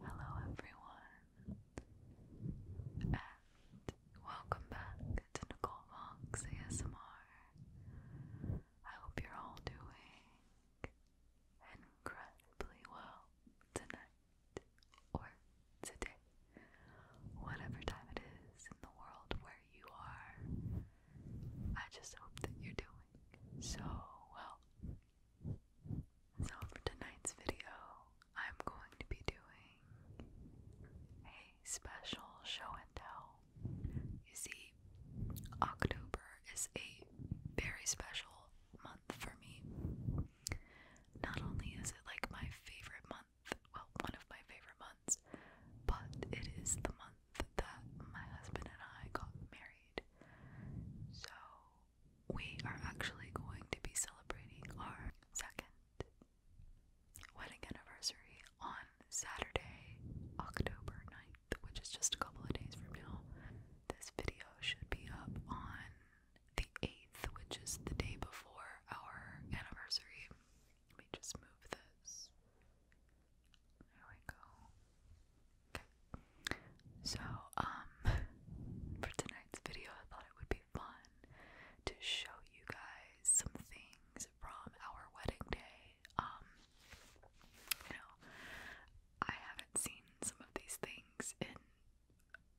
Hello, everyone, and welcome back to Nicole Fox ASMR. I hope you're all doing incredibly well tonight or today, whatever time it is in the world you are. I just hope that you're doing so well. So, for tonight's video, I'm going to be doing a special show and tell. You see, October is a very special month for me. Not only is it like my favorite month well, one of my favorite months, but it is the month that my husband and I got married. So, we are actually going to be celebrating our second wedding anniversary on Saturday, October 9th, which is just a couple of days from now. This video should be up on the 8th, which is the day before our anniversary. Let me just move this. There we go. Okay. So, um, for tonight's video, I thought it would be fun to show you guys some things from our wedding day. Um, you know, I haven't seen some of these things in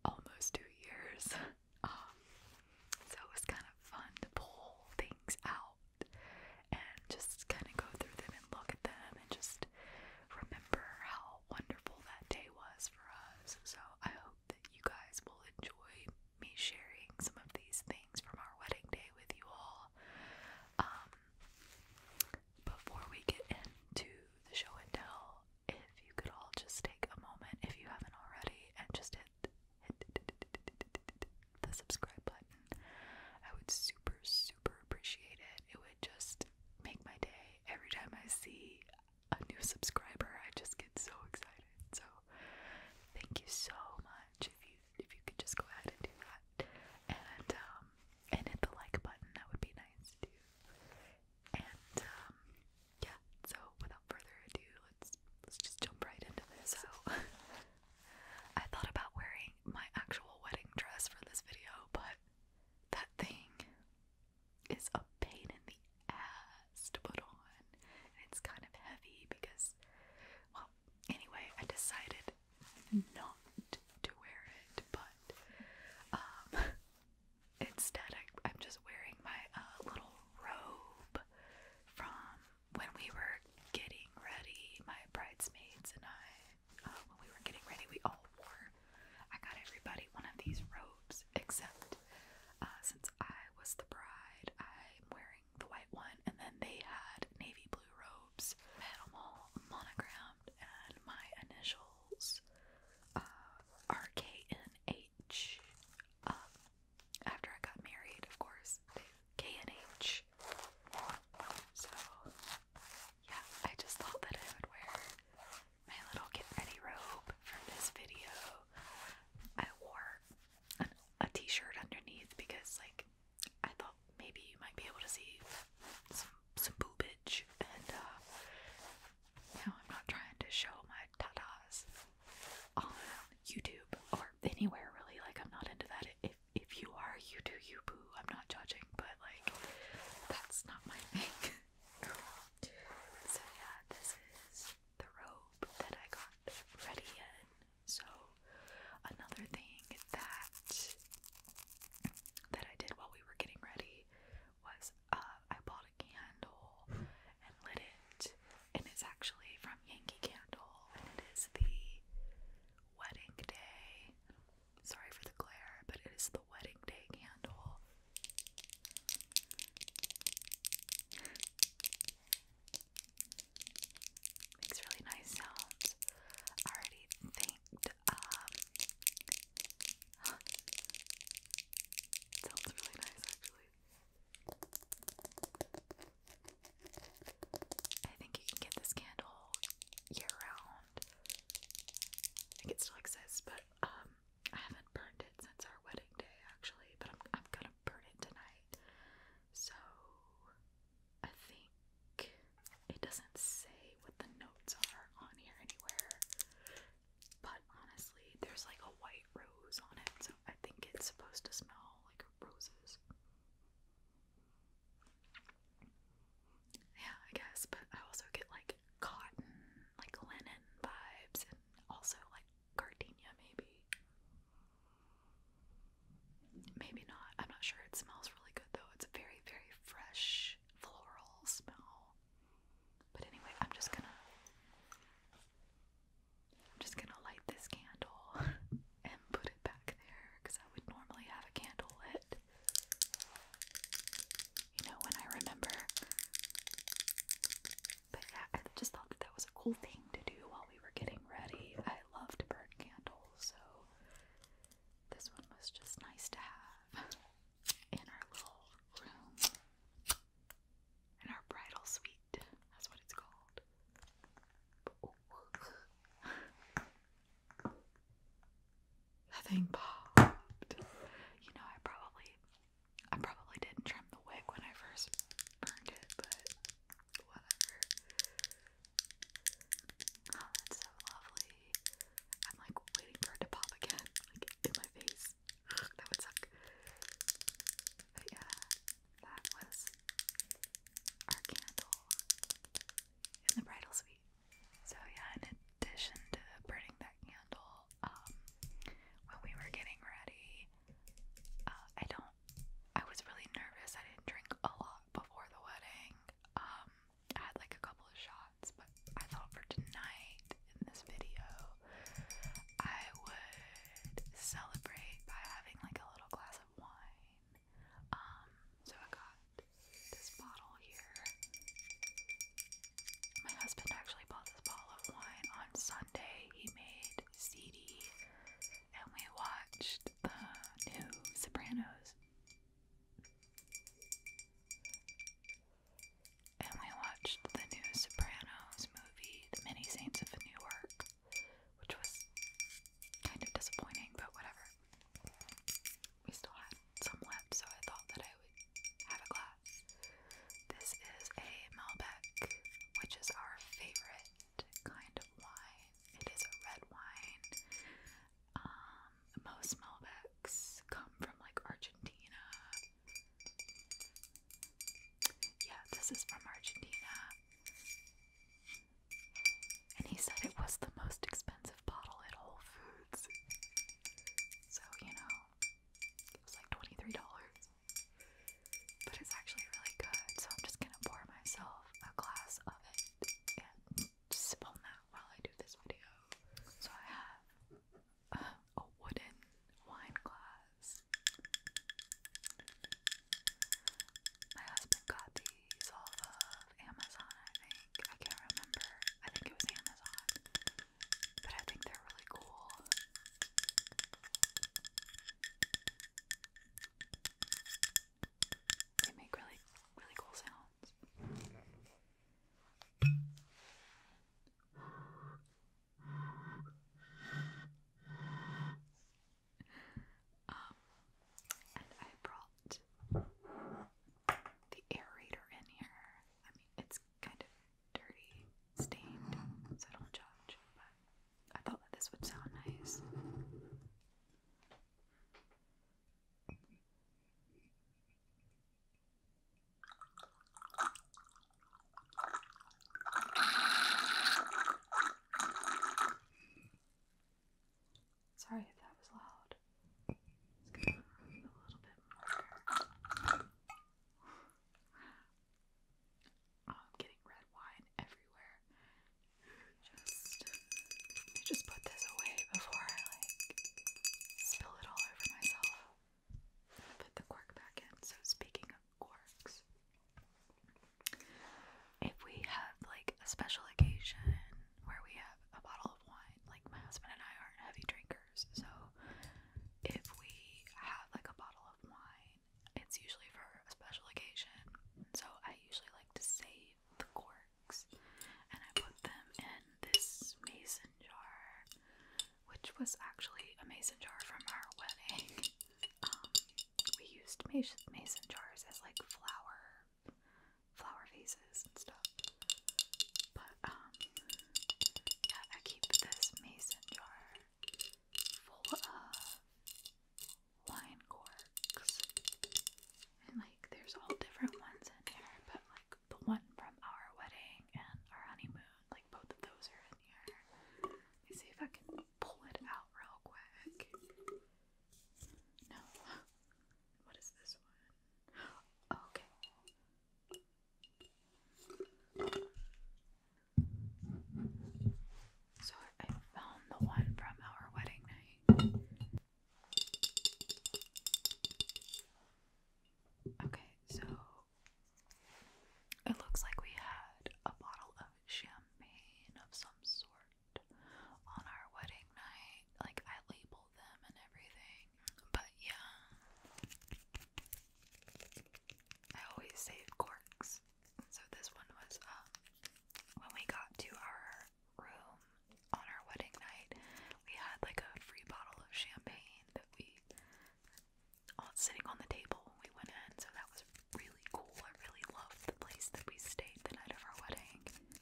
almost two years. Um, so it was kind of fun to pull things out and just kind of go through them and look at them and just remember how wonderful that day was for us. So I hope that you guys will enjoy me sharing some of these things from our wedding day with you all. Um, before we get into the show and tell, if you could all just take a moment, if you haven't already, and just the subscribe button. I would super, super appreciate it. It would just make my day. Every time I see a new subscriber, I just get so excited. So thank you so much. If you if you could just go ahead and do that, and um, and hit the like button, that would be nice too. And um, yeah. So without further ado, let's just jump right into this. So I thought about wearing my actual wedding dress for this video, but that thing is a pain in the ass to put on. it's kind of heavy because well, anyway, I decided not to wear it, but um, instead I, am just wearing my uh, little robe from when we were getting ready, my bridesmaids and I, uh, when we were getting ready, we all wore. I got everybody one of these robes, except uh, since I was the bride, I'm wearing the white one, and then they had navy blue robes. I monogrammed, and my initials RKNH. Uh, after I got married, of course, K and H. So yeah, I just thought that I would wear my little get ready robe for this video. I wore an, a t-shirt underneath because like I thought maybe you might be able to see some some boobage and uh I'm not trying to show my tatas on YouTube or anywhere really. Like I'm not into that. If if you are, you do you boo. I'm not judging, but like that's not my thing. so yeah, this is the robe that I got ready in. So another thing that that I did while we were getting ready was uh, I bought a candle and lit it and it's actually from Yankee Candle, and it is the wedding day. Sorry for the glare, but it is the wedding day candle. Makes really nice sounds. already thanked, um, really nice actually. I think you can get this candle year round. I think it still exists, but um, I haven't burned it since our wedding day actually. But I'm I'm gonna burn it tonight. So I think it doesn't say what the notes are on here anywhere. But honestly, there's like a white rose on it, so I think it's supposed to smell like roses. Yeah, I guess, but I also get like cotton, like linen vibes, and also like gardenia, maybe. Maybe not. I'm not sure. It smells really good though. It's a very, very fresh floral smell. But anyway, I'm just gonna I'm just gonna light this candle and put it back there because I would normally have a candle lit. You know, when I remember. But yeah, I just thought that that was a cool thing to do while we were getting ready. I love to burn candles, so this one was just nice to have in our little room, in our bridal suite. That's what it's called. Oh. that popped. You know, I probably, I probably didn't trim the wig when I first burned it, but whatever. Oh, that's so lovely. I'm like waiting for it to pop again, like in my face. that would suck. yeah, that was our candle in the bridal suite. So yeah, in addition to burning that candle, um, when we were getting ready, uh, I don't. I was really nervous. I didn't drink a lot before the wedding. Um, I had like a couple of shots, but I thought for tonight in this video, I would celebrate by having like a little glass of wine um, so I got this bottle here. My husband actually bought this bottle of wine on Sunday. He made CD and we watched the new Sopranos. And we watched the new Sopranos movie, The Many Saints of New York which was kind of disappointing, but whatever. We still had some left, so I thought that I would have a glass. This is a Malbec, which is our favorite kind of wine. It is a red wine. Um, most Malbecs come from like Argentina. Yeah, this is from Argentina. And he said it was the most expensive bottle at Whole Foods. So, you know, it was like $23. But it's actually really good, so I'm just gonna pour myself a glass of it and sip on that while I do this video. So I have um, a wooden wine glass. My husband got these off of Amazon, I think. I can't remember. I think it was Amazon. But I think they're really cool. They make really, really cool sounds. Um, and I brought the aerator in here. I mean, it's kind of dirty, stained, so don't judge, but I thought that this would sound nice. Sorry if that was loud. It's gonna a little bit more. I'm getting red wine everywhere. Just, just put this away before I like spill it all over myself. Put the cork back in. So speaking of corks, if we have like a special occasion where we have a bottle of wine, like my husband and I are heavy drinkers, so if we have like a bottle of wine, it's usually for a special occasion. So I usually like to save the corks and I put them in this mason jar, which was actually a mason jar from our wedding. Um, we used mason jars as like flower flower vases and stuff. But um, yeah, I keep this mason jar full of wine corks. And like there's all different ones in here, but like the one from our wedding and our honeymoon, like both of those are in here. Let me see if I can pull it out real quick. No. What is this one? Oh, okay. So I found the one from our wedding night. Okay, so it looks like we had a bottle of champagne of some sort on our wedding night. Like, I labeled them and everything. But yeah, I always save corks. So this one was um, when we got to our room on our wedding night. We had like a free bottle of champagne that we all uh, sitting on the table when we went in. So that was really cool. I really love the place that we stayed the night of our wedding.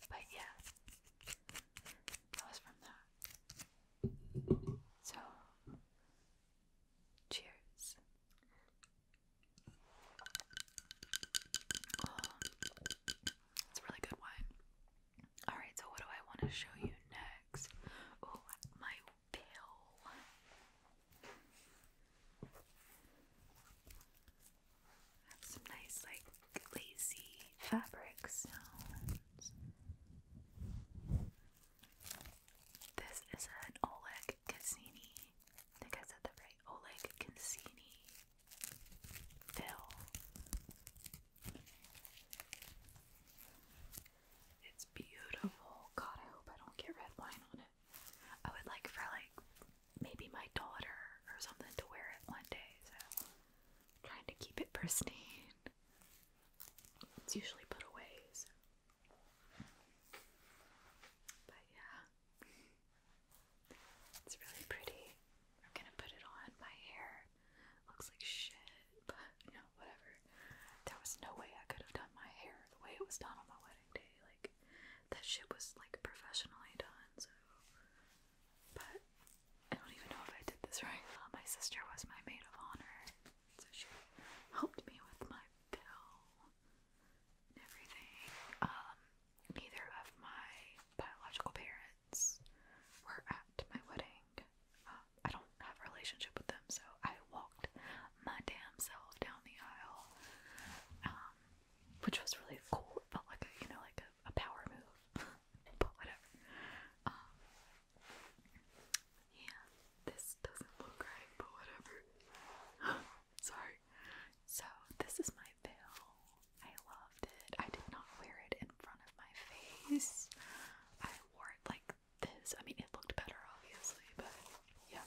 But yeah, that was from that. So, cheers. Oh, really good wine. Alright, so what do I want to show you next? Oh, my pill have some nice, like, lazy fabric This is an Oleg Cassini. think I said that right. Oleg Cassini fill. It's beautiful. God, I hope I don't get red wine on it. I would like for like maybe my daughter or something to wear it one day, so I'm trying to keep it pristine. It's usually put away, but yeah. It's really pretty. I'm gonna put it on. My hair looks like shit, but you know, whatever. There was no way I could have done my hair the way it was done on my wedding. Like that shit was like professionally done. So, but I don't even know if I did this right. Uh, my sister was my maid of honor, so she helped me with my bill and everything. Um, neither of my biological parents were at my wedding. Uh, I don't have a relationship with them, so I walked my damn self down the aisle. Um, which was really cool. felt like you know, like a, power move, but whatever. Um, yeah, this doesn't look right, but whatever. Sorry. So this is my veil. I loved it. I did not wear it in front of my face. I wore it like this. I mean, it looked better, obviously, but yeah,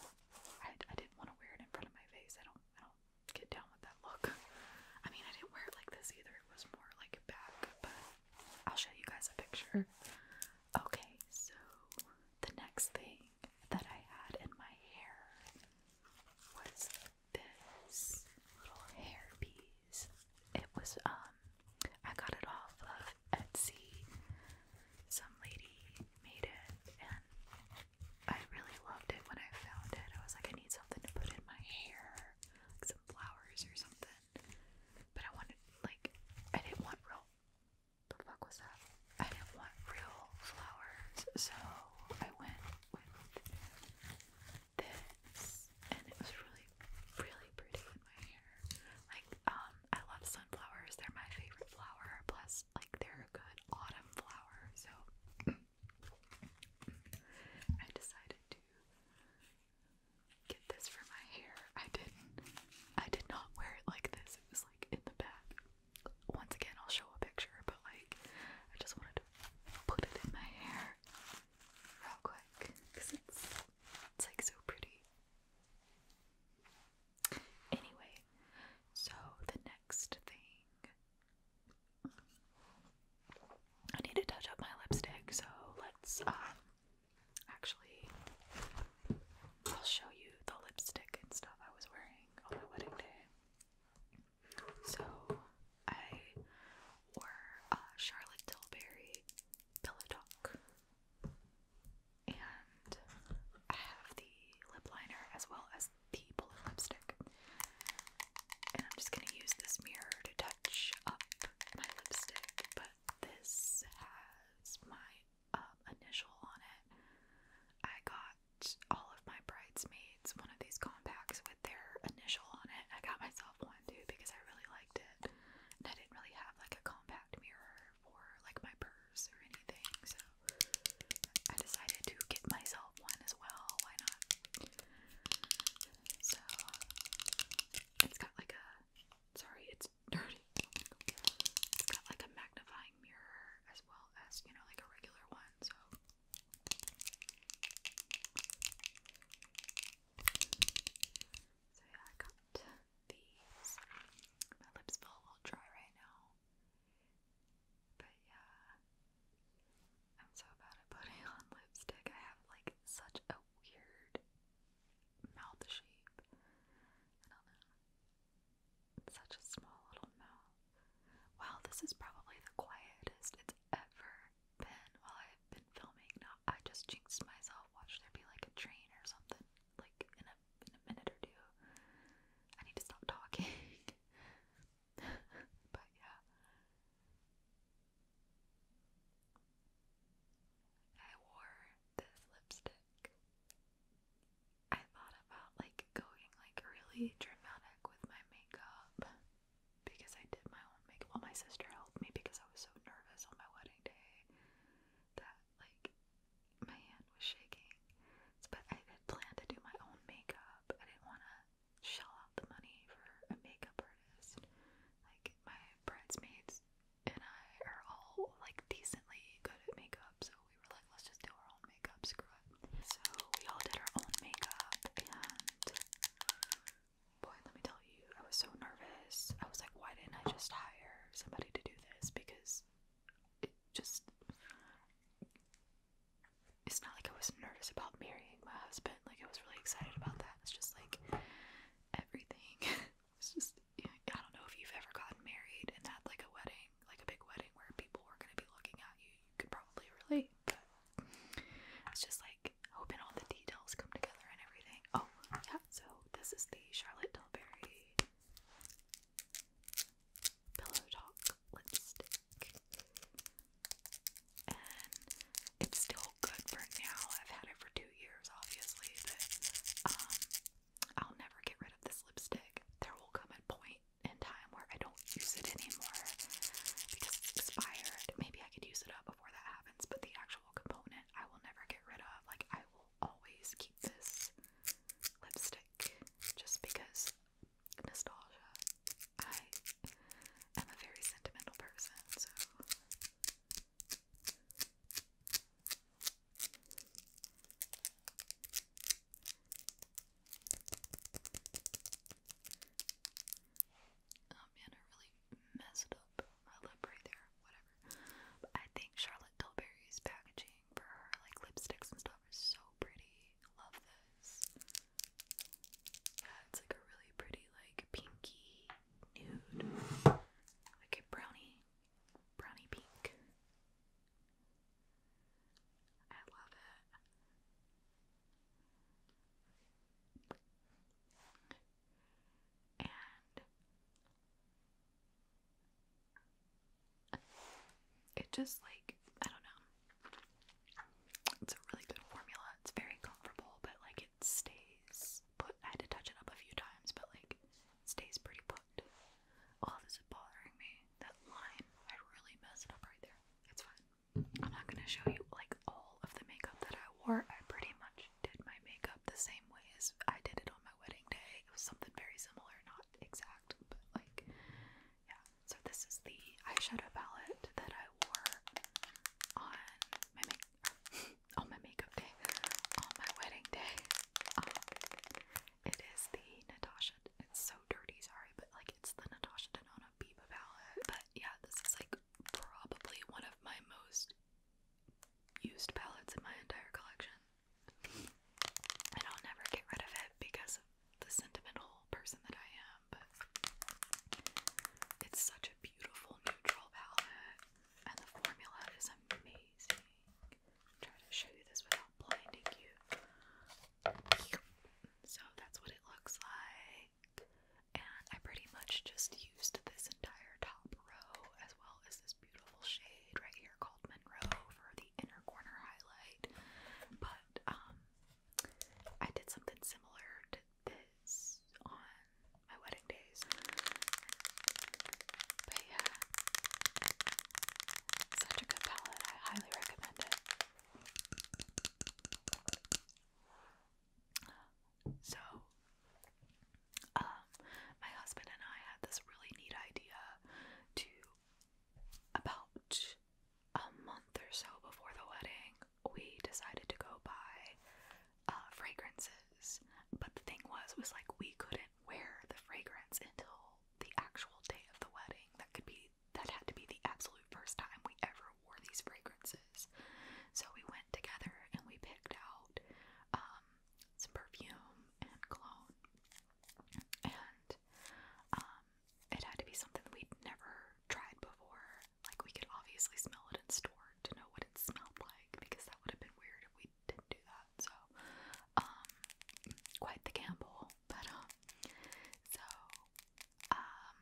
I, I didn't want to wear it in front of my face. I don't, I don't get down with that look. I mean, I didn't wear it like this either. It was more like back, but I'll show you guys a picture. Okay, so the next thing that I had in my hair was this little hair It was um I got it off of Etsy. Some lady made it and I really loved it when I found it. I was like, I need something to put in my hair, like some flowers or something. But I wanted, like, I didn't want real. The fuck was that? I didn't want real flowers, so I went with this, and it was really, really pretty in my hair. Like, um, I love sunflowers; they're my favorite flower. Plus, like, they're a good autumn flower, so. I decided to get this for my hair. I didn't I did not wear it like this. It was like in the back. Once again I'll show a picture, but like I just wanted to put it in my hair real quick. Because it's it's like so pretty. Anyway, so the next thing I need to touch up my lipstick, so let's um, actually I'll show you the lipstick and stuff I was wearing on my wedding day. So I wore uh, Charlotte Tilbury Pillow Talk, and I have the lip liner as well as the bullet lipstick. And I'm just gonna use this mirror to touch up my lipstick, but this has my um, initial on it. I got all of my bridesmaids one of these compacts with their initial on it. I got myself one too because I really liked it. And I didn't really have like a compact mirror for like my purse or anything, so I decided to get myself one as well. Why not? So it's got like a sorry, it's dirty. got like a magnifying mirror as well as, you know, like a regular one. So So yeah, I got these. My lips feel a little dry right now. But yeah, I'm so bad at putting on lipstick. I have like such a weird mouth shape. I such a small little mouth. Wow, this is probably the quietest it's ever been while I've been filming. Now I just jinxed myself. Watch there be like a train or something. Like in a in a minute or two. I need to stop talking. but yeah. I wore this lipstick. I thought about like going like really dramatic with my makeup because I did my own makeup. Well, my sister helped me because I was so nervous on my wedding day that like my hand was shaking. But I had planned to do my own makeup. I didn't want to shell out the money for a makeup artist. Like my bridesmaids and I are all like decently good at makeup, so we were like, let's just do our own makeup, screw it. So we all did our own makeup and boy, let me tell you, I was so nervous. I was like, why didn't I just hire somebody to do this? Because it just it's not like I was nervous about marrying my husband. Like I was really excited about that. It's just like everything. it's just you know, I don't know if you've ever gotten married and had like a wedding, like a big wedding where people were gonna be looking at you. You could probably relate, but it's just like hoping all the details come together and everything. Oh yeah, so this is the Charlotte Tilbury Pillow Talk lipstick. And it's still good for now. I've had it for two years, obviously, but um, I'll never get rid of this lipstick. There will come a point in time where I don't use it anymore because it's expired. Maybe I could use it up before that happens, but the actual component I will never get rid of. Like, I will always keep this lipstick just because nostalgia. I am a very sentimental person, so. Oh man, I really messed up my lip right there. Whatever. I think Charlotte Tilbury's packaging for her like lipsticks and stuff is so pretty love this. Yeah, it's like a really pretty, like pinky nude, like brownie, brownie pink. I love it. And it just like I don't know. It's a really good formula. It's very comfortable, but like it stays put. I had to touch it up a few times, but like it stays pretty put. Oh, this is bothering me. That line, I really messed up right there. It's fine. I'm not gonna show you like all of the makeup that I wore. I pretty much did my makeup the same way as I did it on my wedding day. It was something very similar, not exact, but like yeah, so this is the eyeshadow palette that I wore on my make my makeup day, on my wedding day. Um, it is the Natasha. It's so dirty, sorry, but like it's the Natasha Denona Biba palette. But yeah, this is like probably one of my most used palettes in my entire collection. And I'll never get rid of it because the sentimental person that I am, but it's such a beautiful neutral palette, and the formula is amazing. i to show you this without blinding you. So that's what it looks like, and I pretty much just used this entire top row as well as this beautiful shade right here called Monroe for the inner corner highlight. But um, I did something similar to this on my wedding days. But yeah, such a good palette. I highly recommend it. So, um, my husband and I had this really neat idea to about a month or so before the wedding, we decided to go buy uh, fragrances. But the thing was, was like we couldn't wear the fragrance until the actual day of the wedding. That could be that had to be the absolute first time we ever wore these fragrances. So we went together and we picked out um, some perfume and cologne, and um, it had to be something that we'd never tried before. Like, we could obviously smell it in store to know what it smelled like because that would have been weird if we didn't do that. So, um, quite the gamble. But, um, so, um,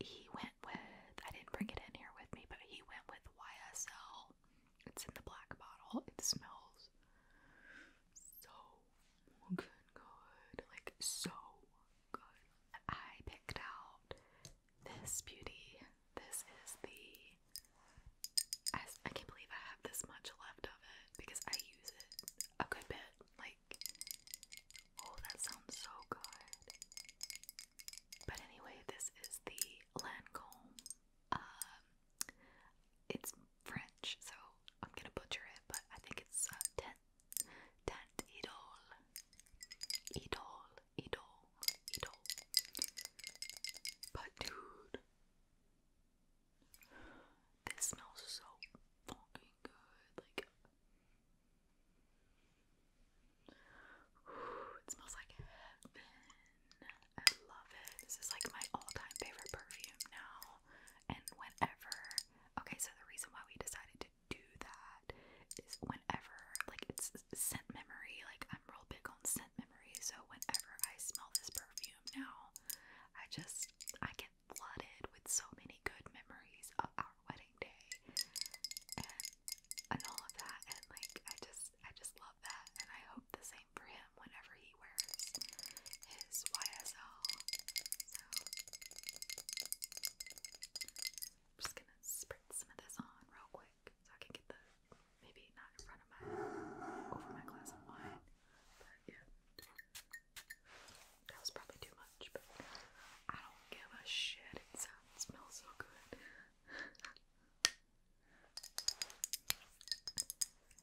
he went with, I didn't bring it in here with me, but he went with YSL. It's in the black bottle. It smells so good, good. Like, so I picked out this beauty. This is the. I, I can't believe I have this much left of it because I use it a good bit. Like, oh, that sounds so good. But anyway, this is the Lancome. Um, it's French, so I'm gonna butcher it, but I think it's uh, 10 that idol, idol, idol, idol. But dude, this smells so fucking good. Like, whew, it smells like heaven. I love it. This is like my all-time favorite perfume now. And whenever, okay, so the reason why we decided to to do that is whenever, like, it's scent memory. Like, I'm real big on scent memory. So, whenever I smell this perfume now, I just, I get flooded with so many good memories of our wedding day and, and all of that. And, like, I just, I just love that. And I hope the same for him whenever he wears his YSL. So, I'm just gonna spritz some of this on real quick so I can get the maybe not in front of my over my glass of wine. But yeah. That was probably too much, but I don't give a shit. It smells so good.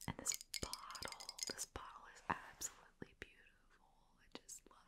and this bottle, this bottle is absolutely beautiful. I just love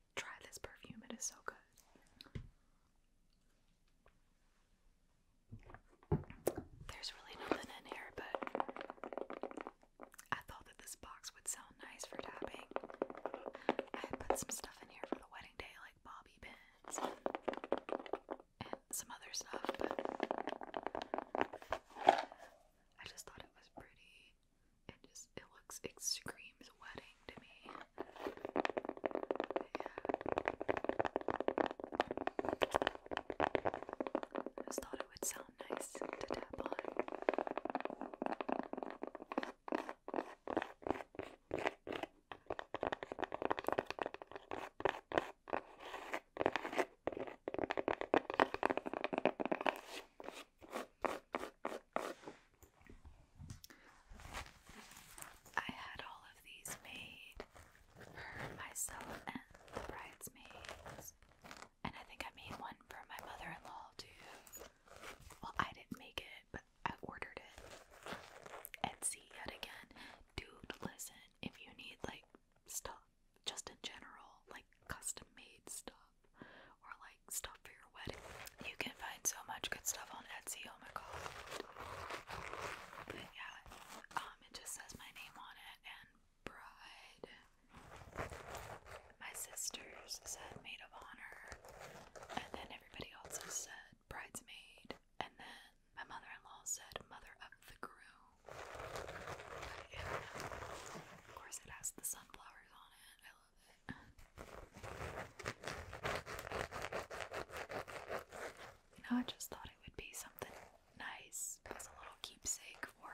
try this perfume, it is so good. There's really nothing in here, but I thought that this box would sound nice for tapping. I put some stuff in here for the wedding day, like bobby pins and, some other stuff, I just thought it was pretty. It just it looks it screams wedding to me. just thought it would sound nice to tap on. I had all of these made for myself and the bridesmaids. And I think I made one for my mother in law too. Well, I didn't make it, but I ordered it. Etsy yet again. Dude, listen, if you need like stuff just in general, like custom made stuff, or like stuff for your wedding. You can find so much good stuff on Etsy. Oh my god. But yeah, um, it just says my name on it and bride. My sisters said maid of honor, and then everybody else said bridesmaid, and then my mother-in-law said mother of the groom. of course it has the sunflowers on it. You know, I just thought it would be something nice as a little keepsake for,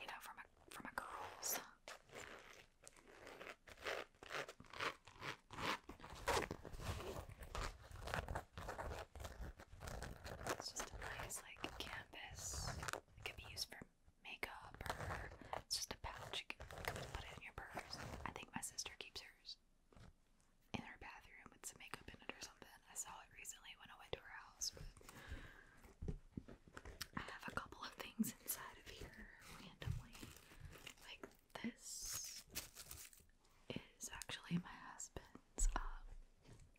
you know, for my, for my girls. It's just a nice, like, canvas. It could be used for makeup it's just a pouch put it in your purse. I think my sister keeps hers in her bathroom with some makeup in it or something. I saw it recently when I went to her house. But I have a couple of things inside of here randomly. Like this is actually my husband's um,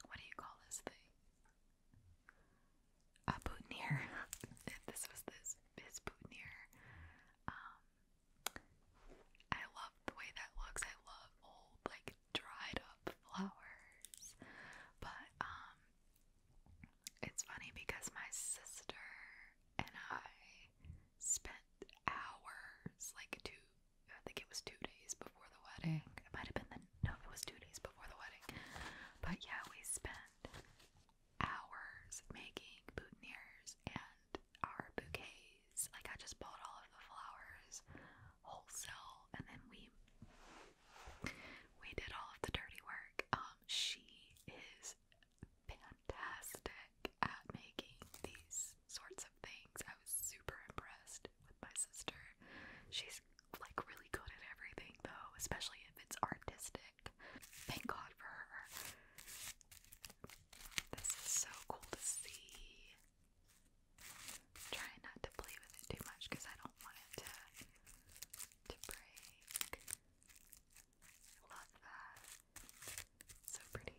what do you call this thing? a boutonniere. this was this his boutonniere. Um, I love the way that looks. I love old like dried up flowers. But um, it's funny because my sister and I spent hours like two. I think it was two days before the wedding. It might have been the no, it was two days before the wedding. But yeah, we spent hours making boutonnieres and our bouquets. Like I just bought all of the flowers wholesale and then we we did all of the dirty work. Um she is fantastic at making these sorts of things. I was super impressed with my sister. She's like really good at everything though, especially if it's artistic. Thank God for her. This is so cool to see. Try not to play with it too much because I don't want it to, to break. love that. so pretty.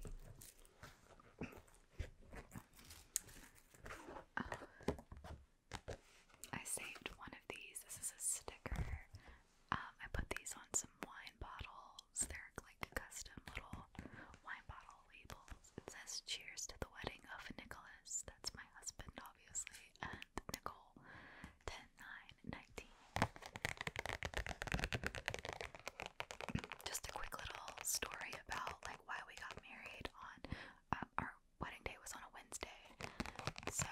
Oh. I saved one of these. This is a sticker um, I put these on some wine bottles. They're like custom little wine bottle labels. It says "Cheers to the wedding of Nicholas." That's my husband, obviously, and Nicole. 10, Just a quick little story about like why we got married on uh, our wedding day was on a Wednesday. So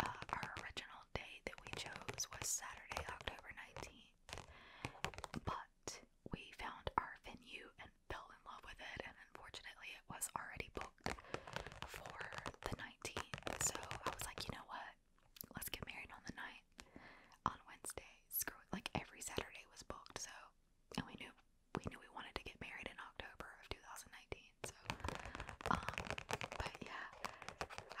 uh, our original day that we chose was Saturday, October 19th, but we found our venue and fell in love with it, and unfortunately, it was already booked for the 19th. So I was like, you know what? Let's get married on the night on Wednesday. Screw it. Like every Saturday was booked, so and we knew we knew we wanted to get married in October of 2019. So, um, but yeah,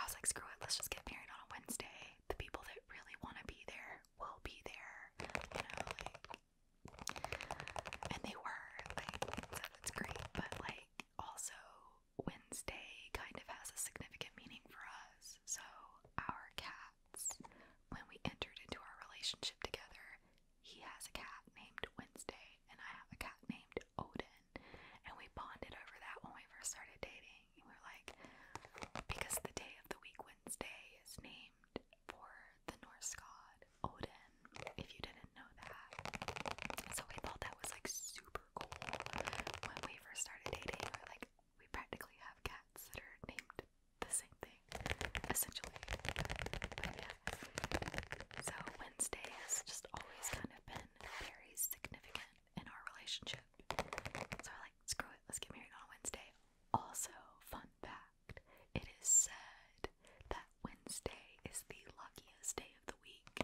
I was like, screw it, let's just get married on a Wednesday. The people that really want to be there will be there, you know, and they were, like, so that's great, but like, also, Wednesday kind of has a significant meaning for us. So, our cats, when we entered into our relationship together, he has a cat named Wednesday, and I have a cat named Odin and we bonded over that when we first started dating. And we were like, because the day of the week, Wednesday, is named for the Norse god Odin, if you didn't know that. So we thought that was like super cool when we first started dating. We were like, we practically have cats that are named the same thing, essentially. But yeah. So Wednesday has just always kind of been very significant in our relationship. So I like, screw it, let's get married on Wednesday. Also, fun fact it is said that Wednesday is the luckiest day of the week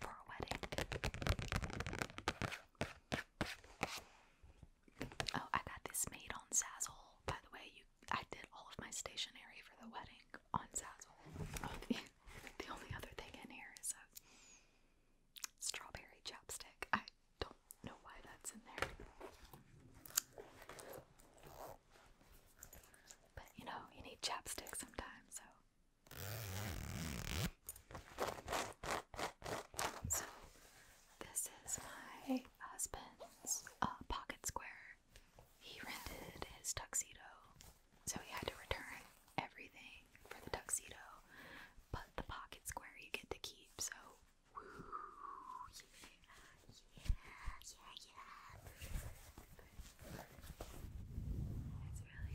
for a wedding. Oh, I got this made on Zazzle. By the way, you I did all of my stationery for the wedding on Zazzle. Oh, the only other thing in here is a strawberry chapstick. I don't know why that's in there. But you know, you need chapstick sometimes, so. this is my husband's uh, pocket square. He rented his tuxedo so he had to return everything for the tuxedo, but the pocket square you get to keep. So, woo, yeah, yeah, yeah, It's really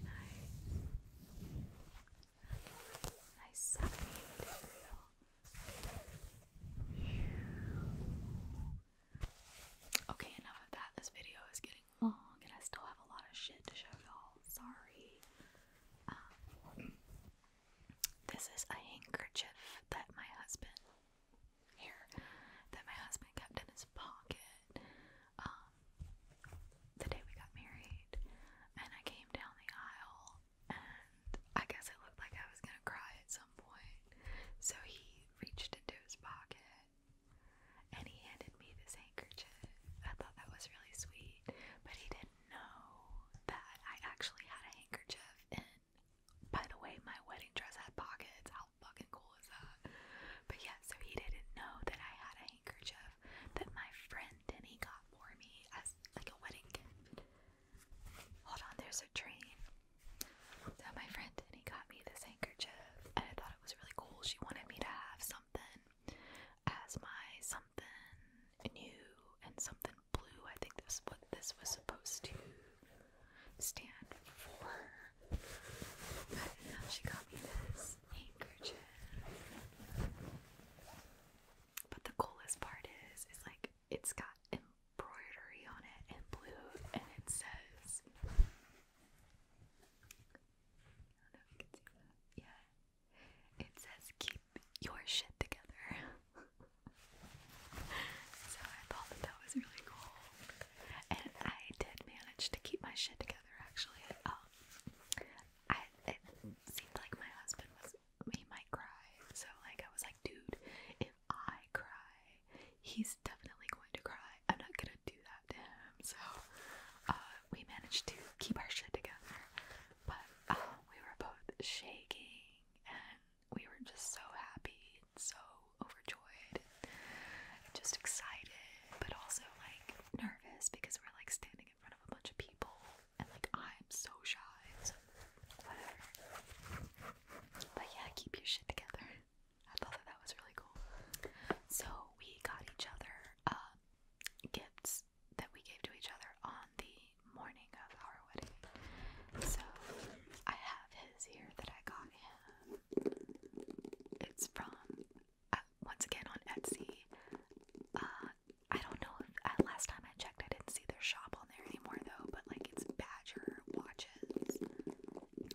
nice. Nice satiny material. Okay, enough of that. This video is getting long oh, and I still have a lot of shit to show y'all. Sorry. Um, this is a handkerchief that my husband here that my husband kept in his pocket um, the day we got married, and I came down the aisle, and I guess it looked like I was gonna cry at some point. So he reached into his pocket and he handed me this handkerchief. I thought that was really sweet, but he didn't know that I actually had a handkerchief. And by the way, my wedding dress had pockets. How fucking cool is that? But yeah, so he didn't know that I had a handkerchief that my friend Danny got for me as like a wedding gift. Hold on, there's a train. my friend Denny got me this handkerchief, and I thought it was really cool. She wanted me to have some as my something new and something blue. I think that's what this was supposed to stand for. I do she got me this handkerchief. But the coolest part is, is like it's got embroidery on it in blue, and it says yeah. It says keep your shit together. so I thought that that was really cool. And I did manage to keep my shit together actually. Um I it seemed like my husband was he might cry. So like I was like, dude, if I cry, he's definitely going to cry. I'm not gonna do that to him. So uh, we managed to keep our shit together. But uh, we were both shaking and we were just so happy so overjoyed just excited, but also like nervous because we're like standing in front of a bunch of people and like I'm so shy. So whatever. But yeah, keep your shit together. I thought that that was really cool. So we got each other uh, gifts that we gave to each other on the morning of our wedding. So I have his here that I got him. It's from uh, once again on Etsy. Uh, I don't know. If, uh, last time I checked, I didn't see their shop on there anymore though. But like it's Badger watches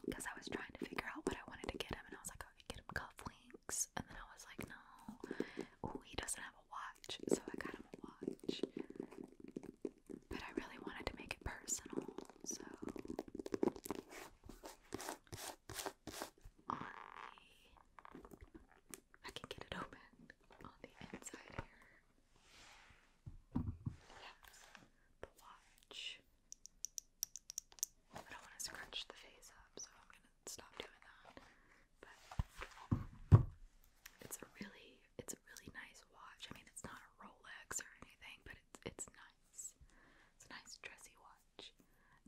because I was trying to figure out what I wanted to get him, and I was like, oh, I could get him cufflinks and then I was like, no, he doesn't have a watch. So I got him a watch. But I really wanted to make it personal. So I can get it open on the inside here. Yes, the watch. I don't want to scrunch the face up, so I'm gonna stop doing that. But it's a really, it's a really nice watch. I mean, it's not a Rolex or anything, but it's it's nice. It's a nice dressy watch.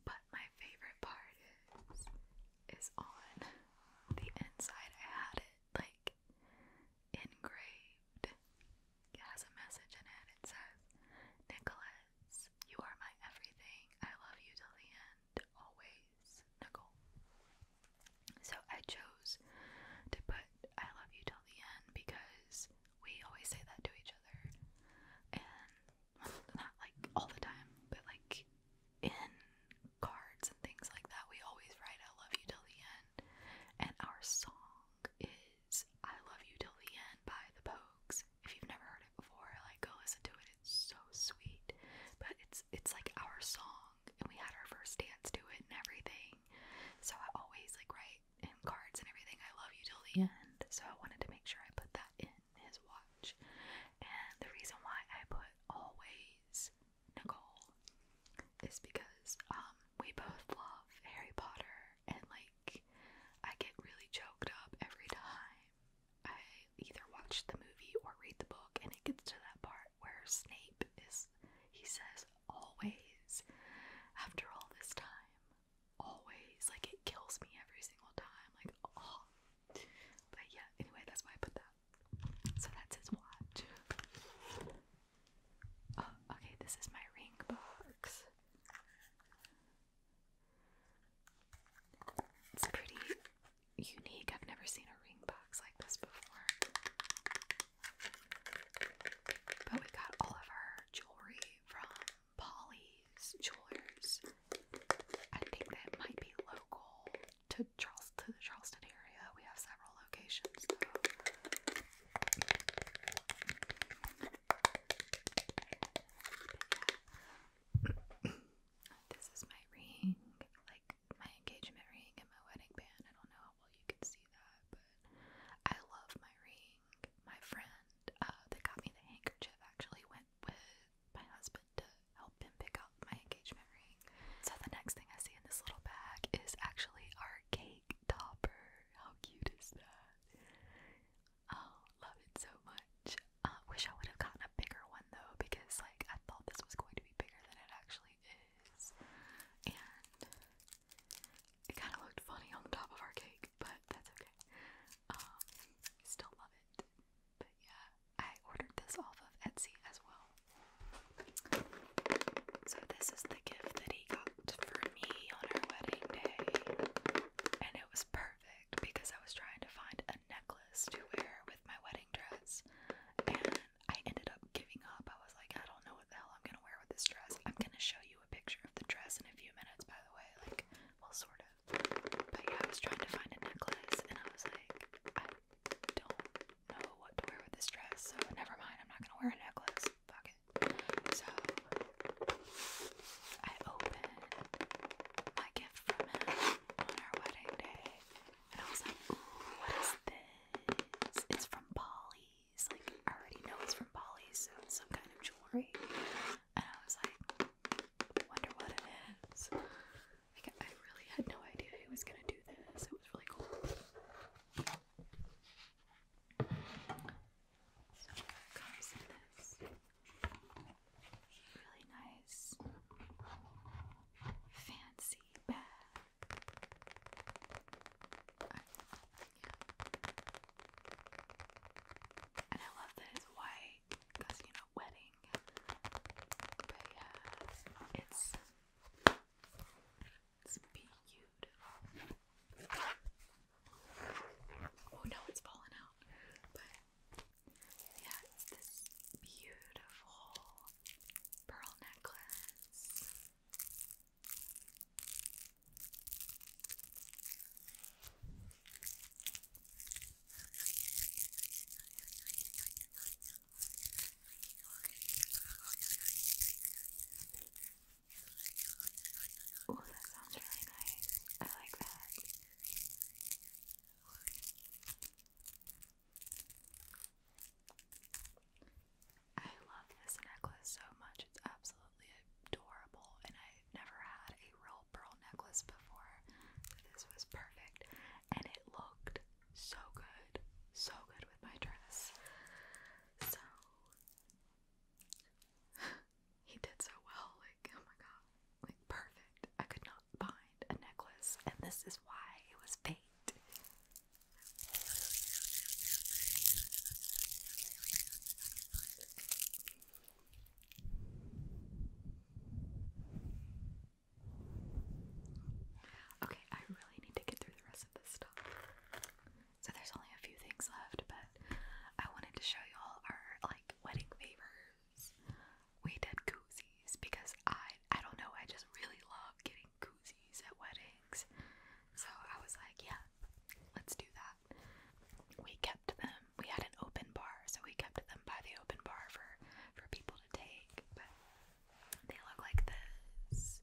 But my favorite part is is on the inside. I had it like engraved. It has a message in it. It says Nicholas. You are my everything. I love you till the end. Always, Nicole. So I chose to put I love you till the end because we always say that to each other. And not like all the time, but like in cards and things like that, we always write I love you till the end. And our song is I Love You Till the End by the Pokes if you've never heard it before, like go listen to it. It's so sweet. But it's it's like our song and we had our first dance to it and everything. So I always like write in cards and everything, I love you till the end. So I wanted to make sure I put that in his watch. And the reason why I put always Nicole is because um we both love Harry Potter and like I get really choked up every time I either watch the movie or read the book, and it gets to that part where Snape is, he says, always, after all this time, always. Like, it kills me every single time. Like, oh. But yeah, anyway, that's why I put that. So that's his watch. Oh, okay, this is my ring box. It's pretty unique. I've never seen a ring box like this before. But we got all of our jewelry from Polly's Jewelers. I think that might be local to Charles to the Charleston area. We have several locations this is my ring, like my engagement ring and my wedding band. I don't know how well you can see that, but I love my ring. My friend uh, that got me the handkerchief actually went with my husband to help him pick out my engagement ring. So the next thing I see in this little bag is actually our cake topper. How cute is that? Oh, love it so much. Uh, wish I would have gotten a bigger one though, because like I thought this was going to be bigger than it actually is, and it kind of looked funny on the top of our cake, but that's okay. Um, still love it. But yeah, I ordered this off of Etsy as well. So this is the gift that he got for me on our wedding day, and it was perfect because I was trying to find a necklace to wear with my wedding dress and I ended up giving up. I was like, I don't know what the hell I'm gonna wear with this dress. I'm gonna show you a picture of the dress in a few minutes, by the way. Like, well, sort of. But yeah, I was trying to find a necklace and I was like, I don't know what to wear with this dress, so never mind. I'm not gonna wear a necklace. Fuck it. So I opened my gift from him on our wedding day, and I was like, ooh, what is this? It's from Polly. Like, I already know it's from Polly's, so it's some kind of jewelry. And I was like, wonder what it is. Like, I really had no idea who was gonna do this. It was really cool. So, it comes in this really nice fancy bag. And I love that it's white because you know wedding. But yeah, it's it's beautiful. Oh no, it's fallen out. But yeah, it's this beautiful pearl necklace. Oh, that sounds really nice. I like that. I love this necklace so much. It's absolutely adorable, and I've never had a real pearl necklace before. So this was perfect, and it looked so good, so good with my dress. So he did so well. Like, oh my god, like perfect. I could not find a necklace, and this is why it was fate. Okay, I really need to get through the rest of this stuff. So there's only a few things left, but I wanted to show you all our like wedding favors we did koozies because I I don't know, I just really love getting koozies at weddings. So I was like, yeah, let's do that. We kept them. We had an open bar, so we kept them by the open bar for for people to take, but they look like this.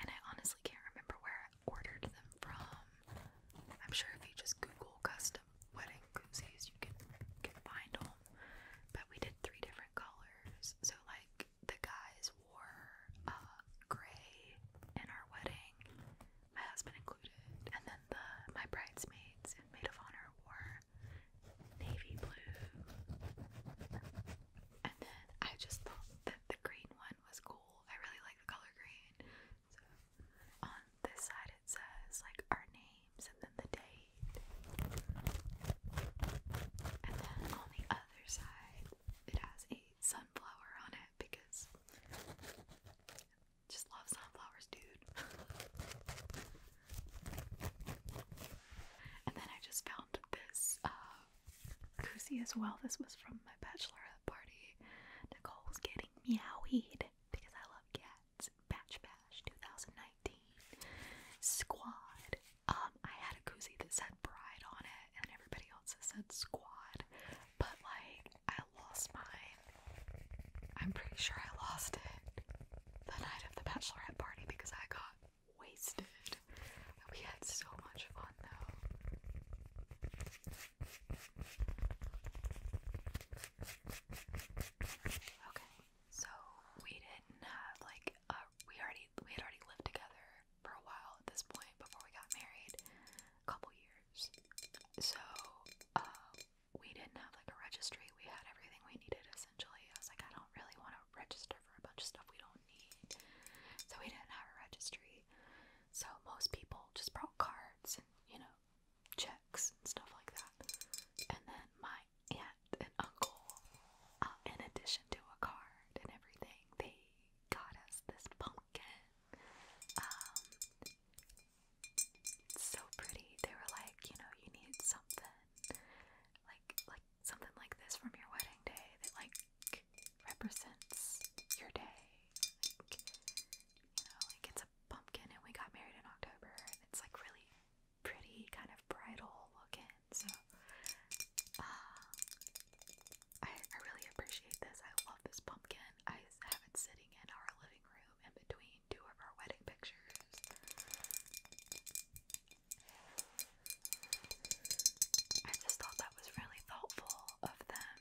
And I honestly can't remember where I ordered them from. I'm sure if you just Google custom custom wedding koozies you can find them. But we did three different colors. So like the guys wore uh, gray in our wedding, my husband included, and then the my bridesmaids and maid of honor wore navy blue. And then I just thought that the green one was cool. I really like the color green, so on this side it says like our names and then the date. And then on the other side it has a sunflower on it because just love sunflowers, dude. and then I just found this uh, koozie as well. This was from my bachelorette party. Nicole was getting meowied because I love cats. Batch Bash 2019 Squad. Um, I had a koozie that said Bride on it, and everybody else said Squad, but like I lost mine. I'm pretty sure I lost it the night of the bachelorette party because I got wasted. We had so much fun though. Okay, so we didn't have like uh, we already we had already lived together for a while at this point before we got married, a couple years. So um, we didn't have like a registry. We had everything we needed essentially. I was like, I don't really want to register for a bunch of stuff we don't need. So we didn't have a registry. So most people just brought cards and you know checks and stuff like that. And then my aunt and uncle, uh, in addition to a card and everything, they got us this pumpkin. Um, so pretty. They were like, you know, you need something like like something like this from your wedding day that like represents your day. Like, you know, like it's a pumpkin and we got married in October and it's like really pretty kind of bridal looking so uh, I, I really appreciate this. I love this pumpkin. I have it sitting in our living room in between two of our wedding pictures. I just thought that was really thoughtful of them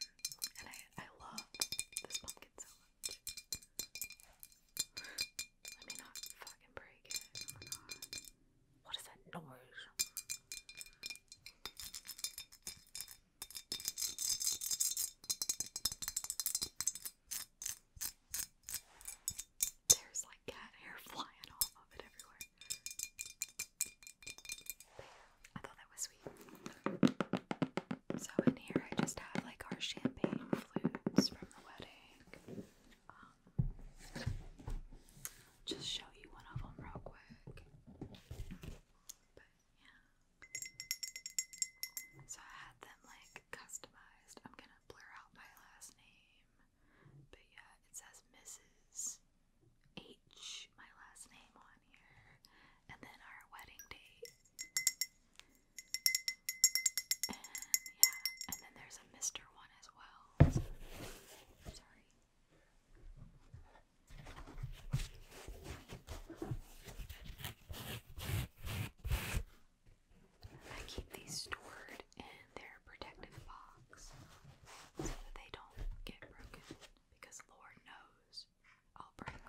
and I, I love this pumpkin so let me not fucking break it. Oh what is that noise? There's like cat hair flying off of it everywhere. I thought that was sweet. So in here I just have like our champagne flutes from the wedding. Um, just show you one of them real quick. So I had them like customized. I'm gonna blur out my last name. But yeah, it says Mrs. H, my last name on here. And then our wedding date. And yeah, and then there's a Mr. one as well. sorry. I keep these stored in their protective box so that they don't get broken because Lord knows I'll break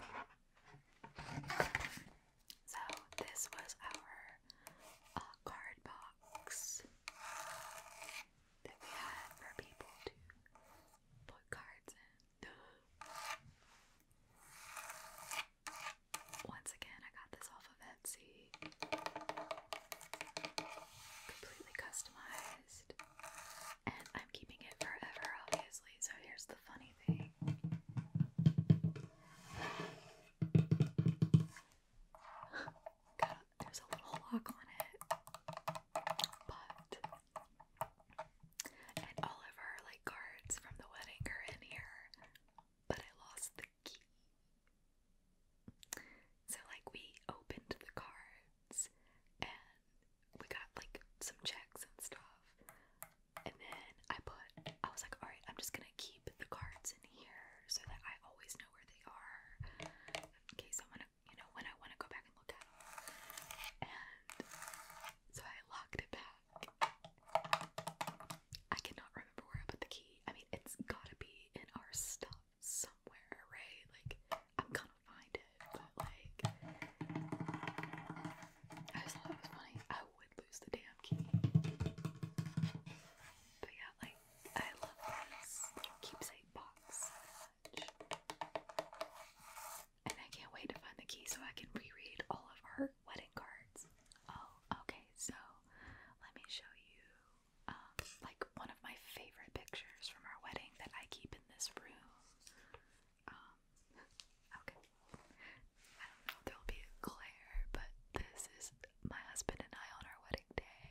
so this was our uh, card box that we had for people to put cards in. Once again, I got this off of Etsy. Completely customized. And I'm keeping it forever, obviously. So here's the funny thing Got, there's a little lock on it, but and all of her like cards from the wedding are in here, but I lost the key. So like we opened the cards and we got like some checks and stuff, and then I put, I was like, all right, I'm just gonna keep the cards in here so that I always know where they are in case I wanna, you know, when I wanna go back and look at them. And so I locked it back. I cannot remember where I put the key. I mean, it's gotta be in our stuff somewhere, right? Like, I'm gonna find it, but like, I just thought it was funny. I lose the damn key. But yeah, like, I love this keepsake box And I can't wait to find the key so I can reread all of her wedding cards. Oh, okay, so let me show you um, like one of my favorite pictures from our wedding that I keep in this room. Um, Okay. I don't know there'll be a but this is my husband and I on our wedding day.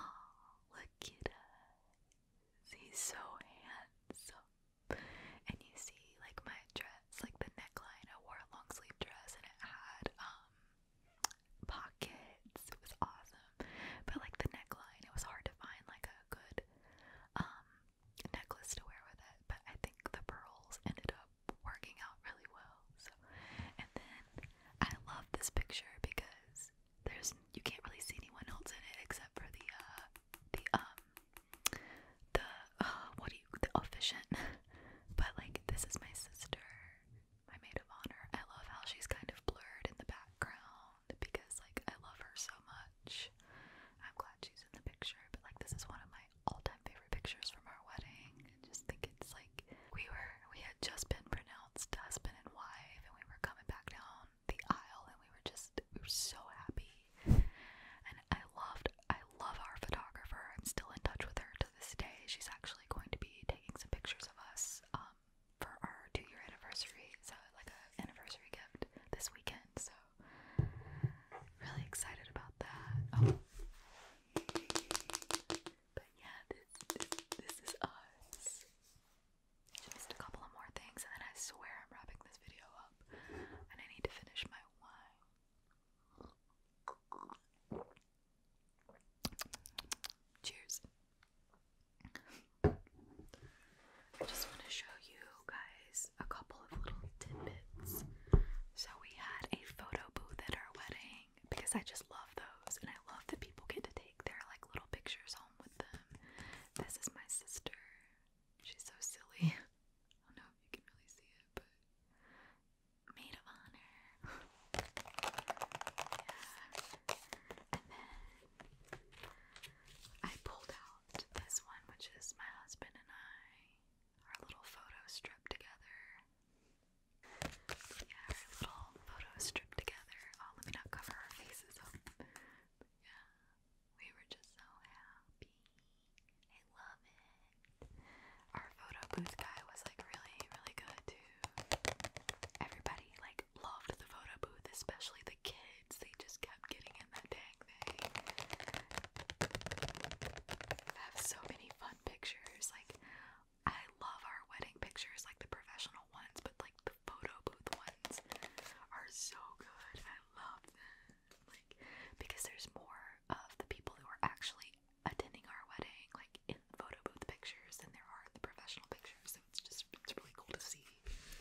Oh, look at us. He's so handsome. And you see, like, my dress, like the neckline, I wore a long sleeve dress and it had, um, pockets. It was awesome. But, like, the neckline, it was hard to find, like, a good, um, necklace to wear with it, but I think the pearls ended up working out really well. So, and then I love this picture because there's you can't really see anyone else in it except for the uh the um the uh, what are you the efficient. but like this is my sister, my maid of honor. I love how she's kind of blurred in the background because like I love her so much. I'm glad she's in the picture, but like this is one of my all-time favorite pictures from our wedding. I just think it's like we were we had just been pronounced husband and wife and we were coming back down the aisle and we were just we were so happy. And I loved I love our photographer. I'm still in touch with her to this day. She's actually going to be taking some pictures of us um for our two year anniversary. So like a anniversary gift this weekend. So really excited about that. Oh. But yeah, this, this, this is us. just a couple of more things and then I swear I'm wrapping this video up. And I need to finish my wine. Cheers. I just want to show you guys a couple of little tidbits. So, we had a photo booth at our wedding because I just love those and I love that people get to take their like little pictures home with them. This is my sister. She's so silly. I don't know if you can really see it, but maid of honor. yeah. And then I pulled out this one, which is my husband and I our little photo strip together. Yeah, our little photo strip together. Oh, let me not cover our faces up. But yeah, we were just so happy. I love it. Our photo booth guy was like really, really good too. Everybody like loved the photo booth, especially the kids. They just kept getting in that day. They have so many fun pictures. Like, I love our wedding pictures, like the professional ones, but like the photo booth ones are so good. I love them. Like, because there's more of the people who are actually attending our wedding, like in the photo booth pictures, than there are in the professional pictures. So it's just, it's really cool to see.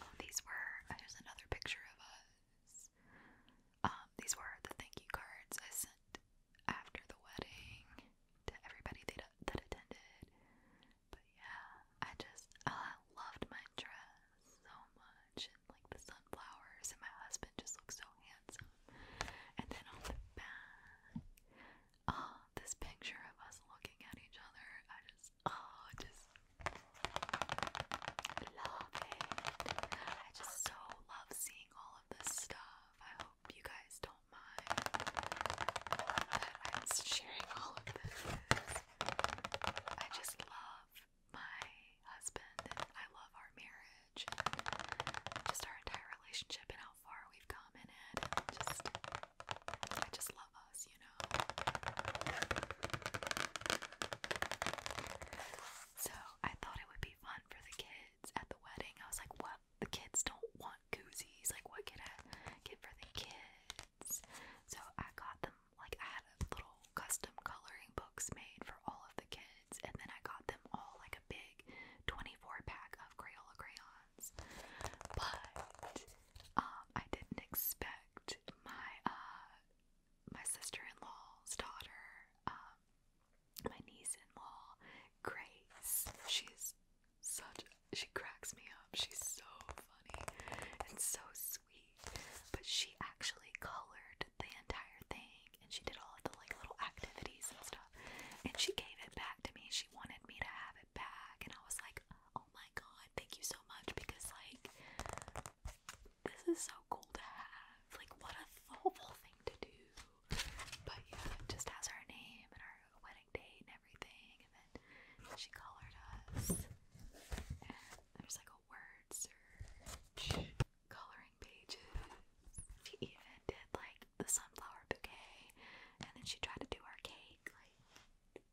Oh, these were, uh, there's another picture of us. Um, these were the thank you cards I sent after the wedding to everybody that attended. But yeah, I just oh, I loved my dress so much, and like the sunflowers, and my husband just looked so handsome. And then on the back, oh, this picture of us looking at each other, I just oh, just love I just so love seeing all of this stuff. I hope you guys don't mind that I'm sharing all of this. I just love my husband and I love our marriage and just our entire relationship and how far we've come in it. And just I just love us, you know. So I thought it would be be fun for the kids at the wedding. I was like, what? The kids don't want koozies. Like, what can I get for the kids? So I got them, like, I had little custom coloring books made for all of the kids, and then I got them all, like, a big 24 pack of Crayola crayons. But, um, I didn't expect my, uh, my sister-in-law's daughter, um, my niece-in-law, Grace. She's such she cracks me up. She's so funny and so sweet. But she actually colored the entire thing and she did all of the like little activities and stuff. And she gave it back to me. She wanted me to have it back and I was like, "Oh my god, thank you so much because like this is so cool to have. Like, what a thoughtful thing to do. But yeah, it just has our name and our wedding date and everything. And then she colored us. And there's like a word search, coloring pages. She even did like the sunflower bouquet. And then she tried to do our cake, like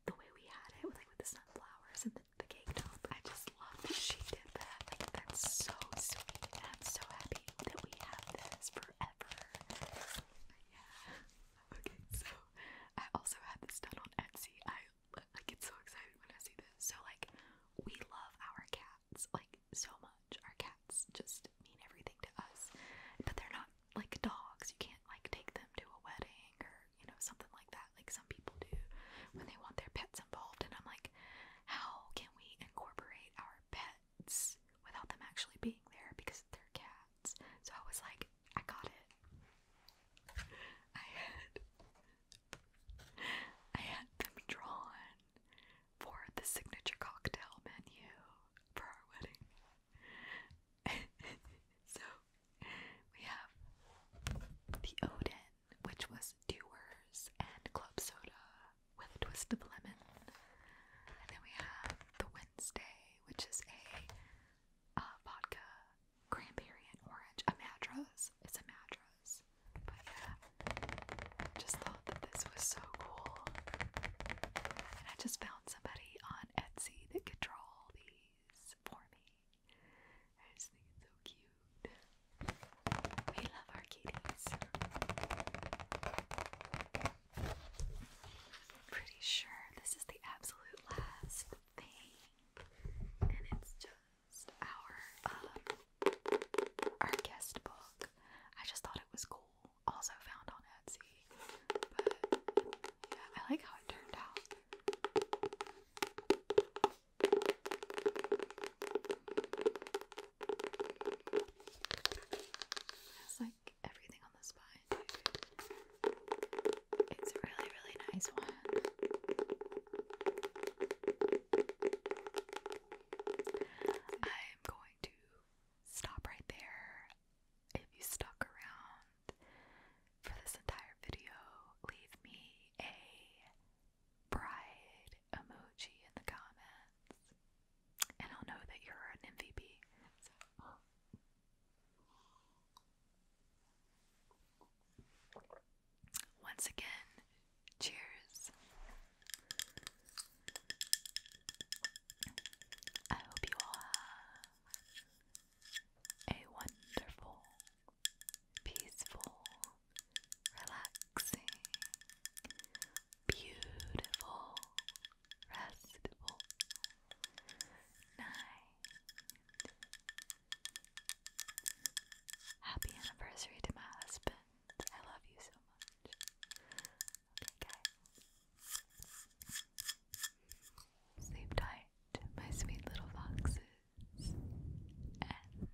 the way we had it, with like with the sunflowers and the, the cake top up. I just love that she did that. Like, that's so sweet. And I'm so happy that we have this forever. Yeah. Okay, so I also had this done on Etsy. I like get so excited when I see this. So like we love our cats like so much. Our cats just mean everything to us. But they're not like dogs. You can't like take them to a wedding or you know something like that. Like some people do when they want their pets involved and I'm like, how can we incorporate our pets without them actually being there because they're cats? So I was like, I got it. I had I had them drawn for the signature cocktail menu for our wedding. so we have the Odin which was Dewars and Club Soda with a twist of lemon. And then we have the Wednesday, which is a uh, vodka, cranberry, and orange. A Madras. It's a Madras. But yeah, just thought that this was so cool. And I just found somebody on Etsy that could draw all these for me. I just think it's so cute. We love our kitties. Pretty sure this is the absolute last thing, and it's just our um, our guest book. I just thought it was cool. Also found on Etsy, but yeah, I like how it turned out. It's like everything on the spine. It's a really, really nice one. I'm going to stop right there. If you stuck around for this entire video, leave me a pride emoji in the comments, and I'll know that you're an MVP. Uh. Once again, cheers. I hope you all have a wonderful, peaceful, relaxing, beautiful, restful night. Happy anniversary to my husband. I love you so much. Okay, guys. Sleep tight, my sweet little foxes, and